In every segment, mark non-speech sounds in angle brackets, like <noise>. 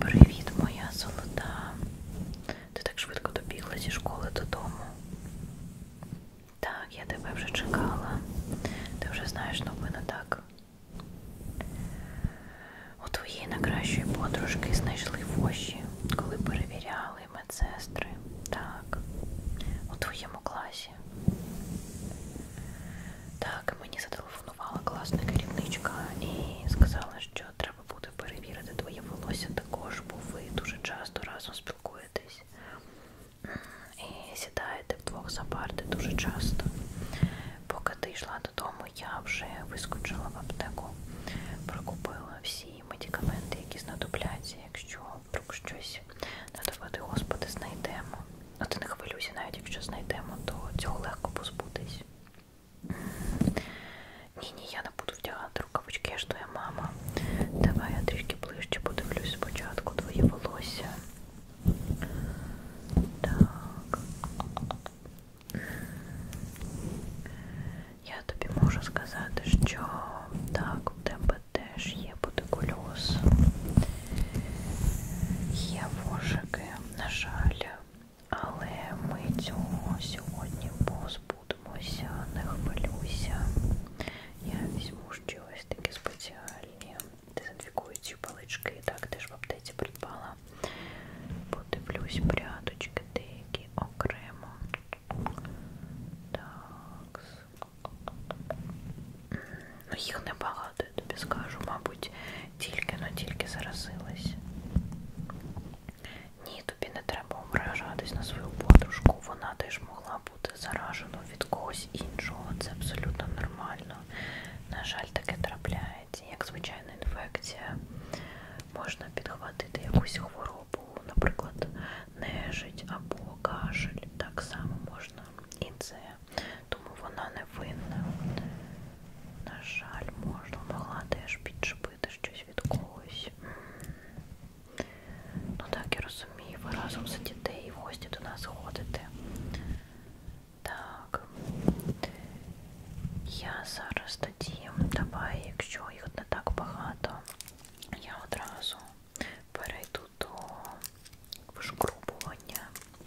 Привіт, моя золота. Ти так швидко добігла зі школи додому. Так, я тебе вже чекала. Ти вже знаєш новину, так? У твоєї найкращої подружки знайшли воші, коли перевіряли медсестри. Так, у твоєму класі. Так, мені зателефонували запропонувала класна керівничка і сказала, що треба буде перевірити твоє волосся також, бо ви дуже часто разом спілкуєтесь і сідаєте вдвох за парти дуже часто. Поки ти йшла додому, я вже вискочила в аптеку, прокупила всі медикаменти, які знадобляться, якщо вдруг щось надавати, Господи, знайдемо. А ти не хвилюйся, навіть якщо знайдемо, то цього легко позбутись. Ні-ні, я не буду вдягати рукавички, я ж твоя мама. Давай я трішки ближче подивлюсь спочатку твоє волосся. Так. Я тобі можу сказати, що так, у тебе теж є бутикульоз. Є вожики, на жаль, але ми цього сьогодні позбудемося, не хвилюйся. Я візьму ще ось такі спеціальні дезінфікуючі палички, так теж в аптеці придбала. Подивлюсь пряточки деякі окремо. Так. Ну, їх небагато, я тобі скажу, мабуть, тільки но ну, тільки заразилась. Ні, тобі не треба ображатись на свою подружку, вона теж могла бути заражена від когось іншого. Це абсолютно нормально. На жаль, таке трапляється. Як звичайна інфекція, можна підхватити якусь хворобу, наприклад, нежить або кашель. Так само можна і це. Тому вона не винна. На жаль, можна могла теж підчепити щось від когось. Ну так, я розумію, ви разом сидіте і в гості до нас ходите. Так. Я зараз тоді, давай, якщо їх не так багато, я одразу перейду до вишкрубування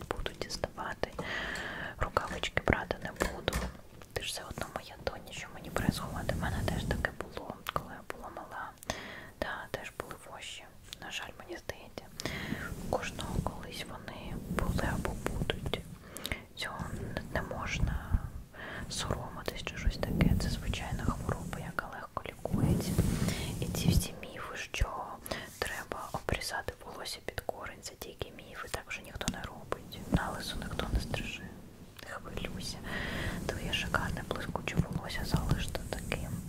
буду діставати. Рукавички брати не буду. Ти ж все одно моя доня, що мені присховати. В мене теж таке було, коли я була мала. Да, теж були воші. На жаль, мені здається. Кожного колись вони були або будуть. Цього не можна соромитись чи щось таке. Це звичайна хвороба, яка легко лікується. І ці всі міфи, що треба обрізати волосся вдалося під корень за тільки міфи, так вже ніхто не робить. На лису ніхто не стриже. Не хвилюйся. Твоє шикарне блискуче волосся залиште таким.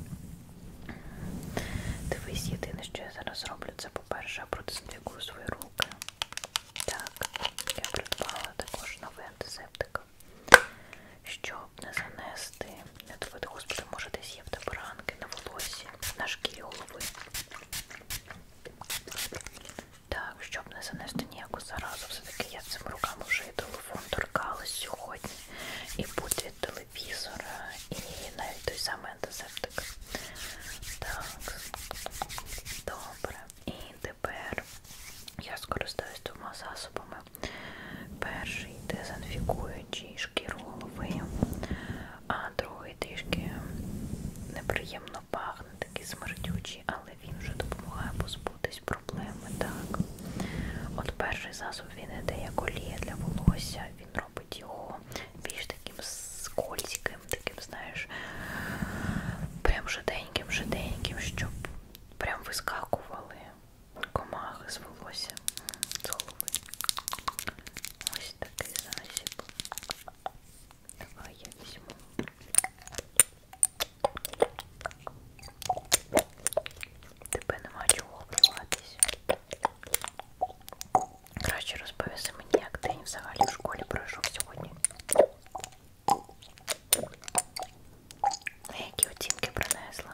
Дивись, єдине, що я зараз роблю, це по-перше, протестую свої руки. Так, я придбала також новий антисептик. Щоб не занести, не доведе, господи, може десь є в тебе ранки на волосі, на шкірі голови. Так, щоб не занести ніяку заразу, все-таки я цим рукам вже і телефон торкалась сьогодні. І будь від телевізора, і навіть той самий антисептик. Так, добре. І тепер я скористаюсь двома засобами. Перший дезінфікуючий шкіру голови, а а другий трішки неприємно пахне, такий смердючий, але він вже допомагає позбутись проблеми. так. От перший засоб він іде як олія для волосся, він робить його більш таким скользьким, таким, знаєш, прям жиденьким, жиденьким, щоб прям вискакували комахи з волосся, з голови. Ось такий засіб. Давай я возьму. Тебе нема чого обливатись. Краще розповіси мені, як день взагалі в школі пройшов сьогодні. Які оцінки принесла?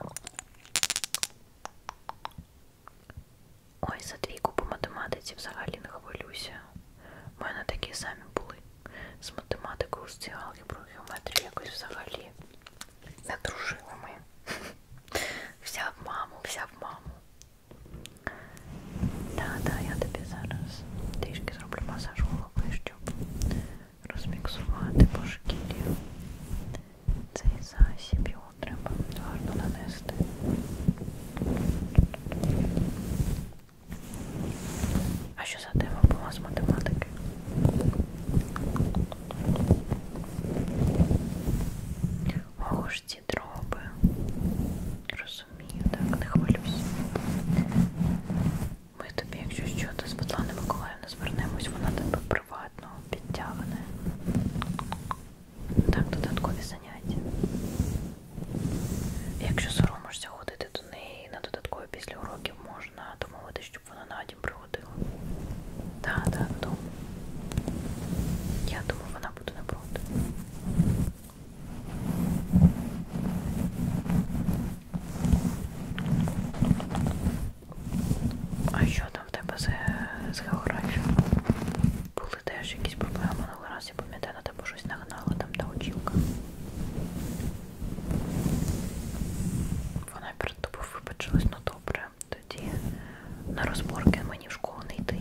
Ой, за двійку по математиці взагалі не хвилюся. У мене такі самі були. З математикою, з цією алгеброю, геометрію якось взагалі не дружили ми. <laughs> Вся в маму, вся в маму. Та-та, я тобі зараз трішки зроблю масаж голови, щоб розміксувати по шкірі цей засіб треба гарно нанести. А що за тема була з математики? Ого ж ці дроби. Розумію, так, не хвилюсь. Ми тобі, якщо що, то з Світлани Миколаївни звернемось, вона тебе приватно підтягне. Так, додаткові заняття. Якщо соромишся ходити до неї на додаткові після уроків, можна домовити, щоб вона на дім приходила. Так, да, так, да, Я думаю, вона буде напроти. А що там в тебе з, з географією? Були теж якісь проблеми? минулого разу, я пам'ятаю, на ну, тебе типу, щось нагнала там та очілка. Вона перед тобою вибачилась, ну добре. Тоді на розборки мені в школу не йти.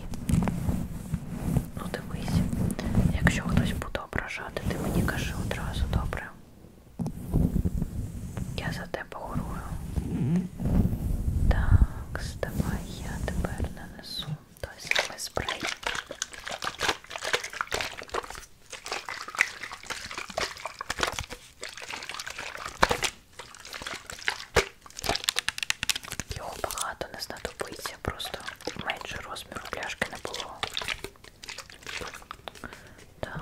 Ну дивись, якщо хтось буде ображати, ти мені кажи одразу добре. Я за тебе горую. Так, ставай, я тепер нанесу той самий спрей. Його багато не знадобиться, просто менше розміру пляшки не було. Так.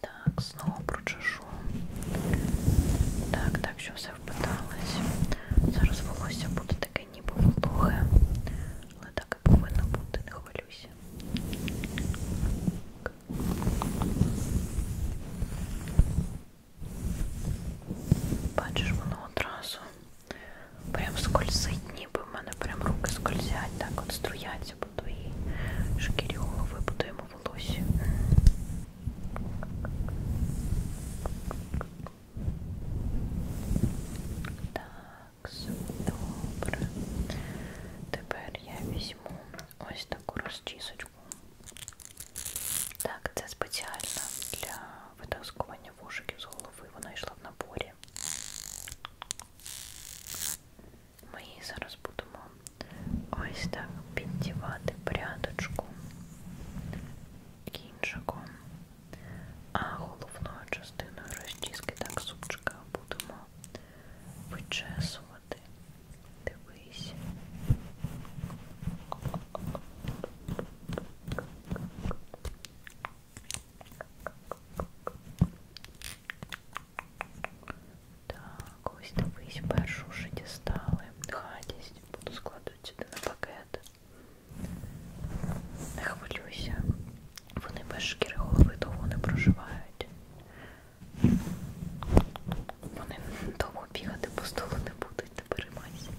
Так, знову прочешу. Так, так, що все впиталось. Зараз волосся буде таке ніби вологе. Але так і повинно бути, не хвилюйся. Бачиш, воно одразу прям скользить, ніби в мене прям руки скользять, так от струяться по твоїй шкірі голови, по твоєму волосі. Так, добре. Тепер я візьму ось таку розчісочку. Так, це спеціально для витаскування вушиків з голови. Вона йшла в наборі. Ми її зараз будемо ось так піддівати прядочку кінчиком, а головною частиною розчіски так супчика будемо вичесувати. Дивись. Так, ось дивись, першу вже дістали. Гадість, буду складати сюди на пакет. Не хвилюйся. Вони без шкіри голови довго не проживають. Вони довго бігати по столу не будуть, не переймайся.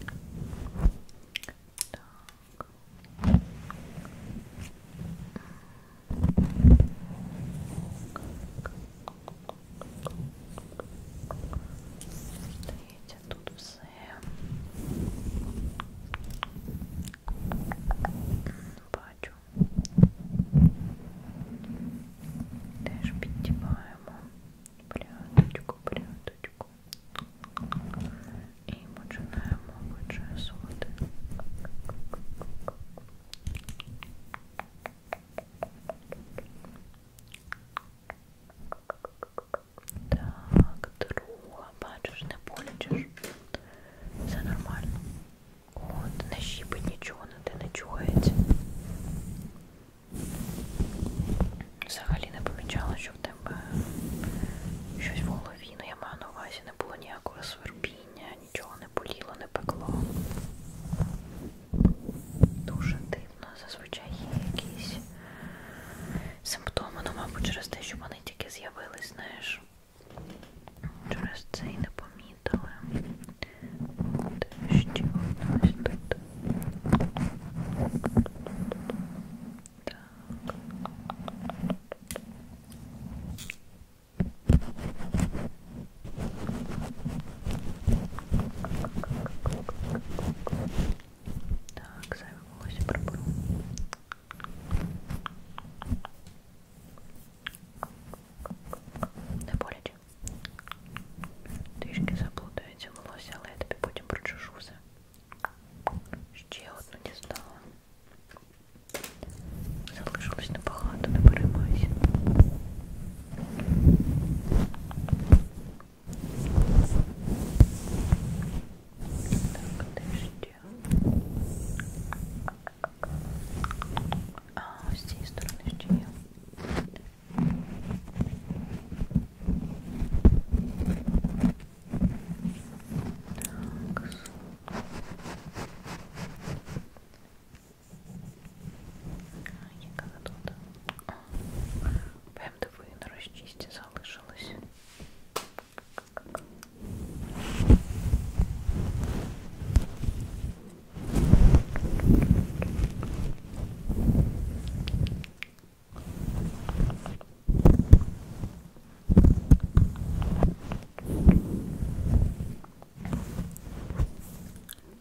Так. Так. Дивіться, тут все бачу. Теж підтіваємо пряточку, пряточку. І починаємо вичесувати. Так, друга, бачиш, не болячиш. Все нормально. От, не щіпить нічого, на те не чугається. Взагалі не помічала, що в тебе щось в голові, ну я маю на увазі, не було ніякого свербіння, нічого не боліло, не пекло. Дуже дивно, зазвичай є якісь симптоми, ну, мабуть, через те, що вони тільки з'явились, знаєш. Через це і не помітили. Де ще одна ось тут. Так. Так, сами волосы пробую. Не боляче. Трішки заплутаються волосся, але я тобі потім прочешу все. Ще одну дістала. Залишилось небагато, не переймайся. Так, дождя. А, с цієї сторони ще є. Так. Яка задота? ПМДВ на розчисті залишилось.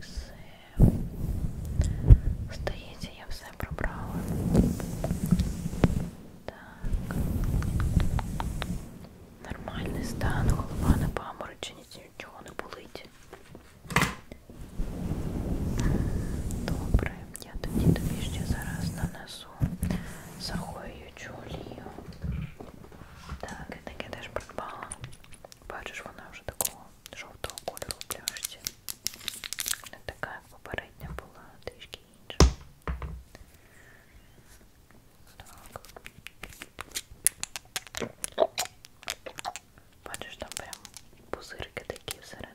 Все. Здається, я все пробрала. Так. Нормальний стан, голова не паморочить, нічого не болить. Добре, я тоді тобі ще зараз нанесу захоюючу олію. Так, я таке теж придбала. Бачиш, вона вже такого жовтого кольору в пляшці. Не така, як попередня була, трішки інша. Так. Бачиш, там прям пузирки такі всередині.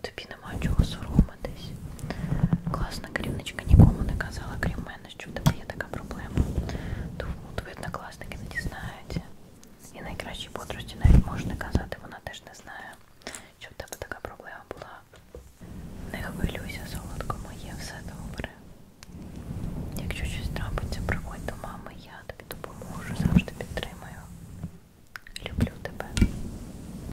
Тобі нема чого соромитись. Класна керівничка нікому не казала, крім мене, що в тебе є така проблема. Тому твої однокласники не дізнаються. І найкращі подружці навіть можна казати, вона теж не знає, що в тебе така проблема була. Не хвилюйся, солодко моє, все добре. Якщо щось трапиться, приходь до мами, я тобі допоможу, завжди підтримаю. Люблю тебе.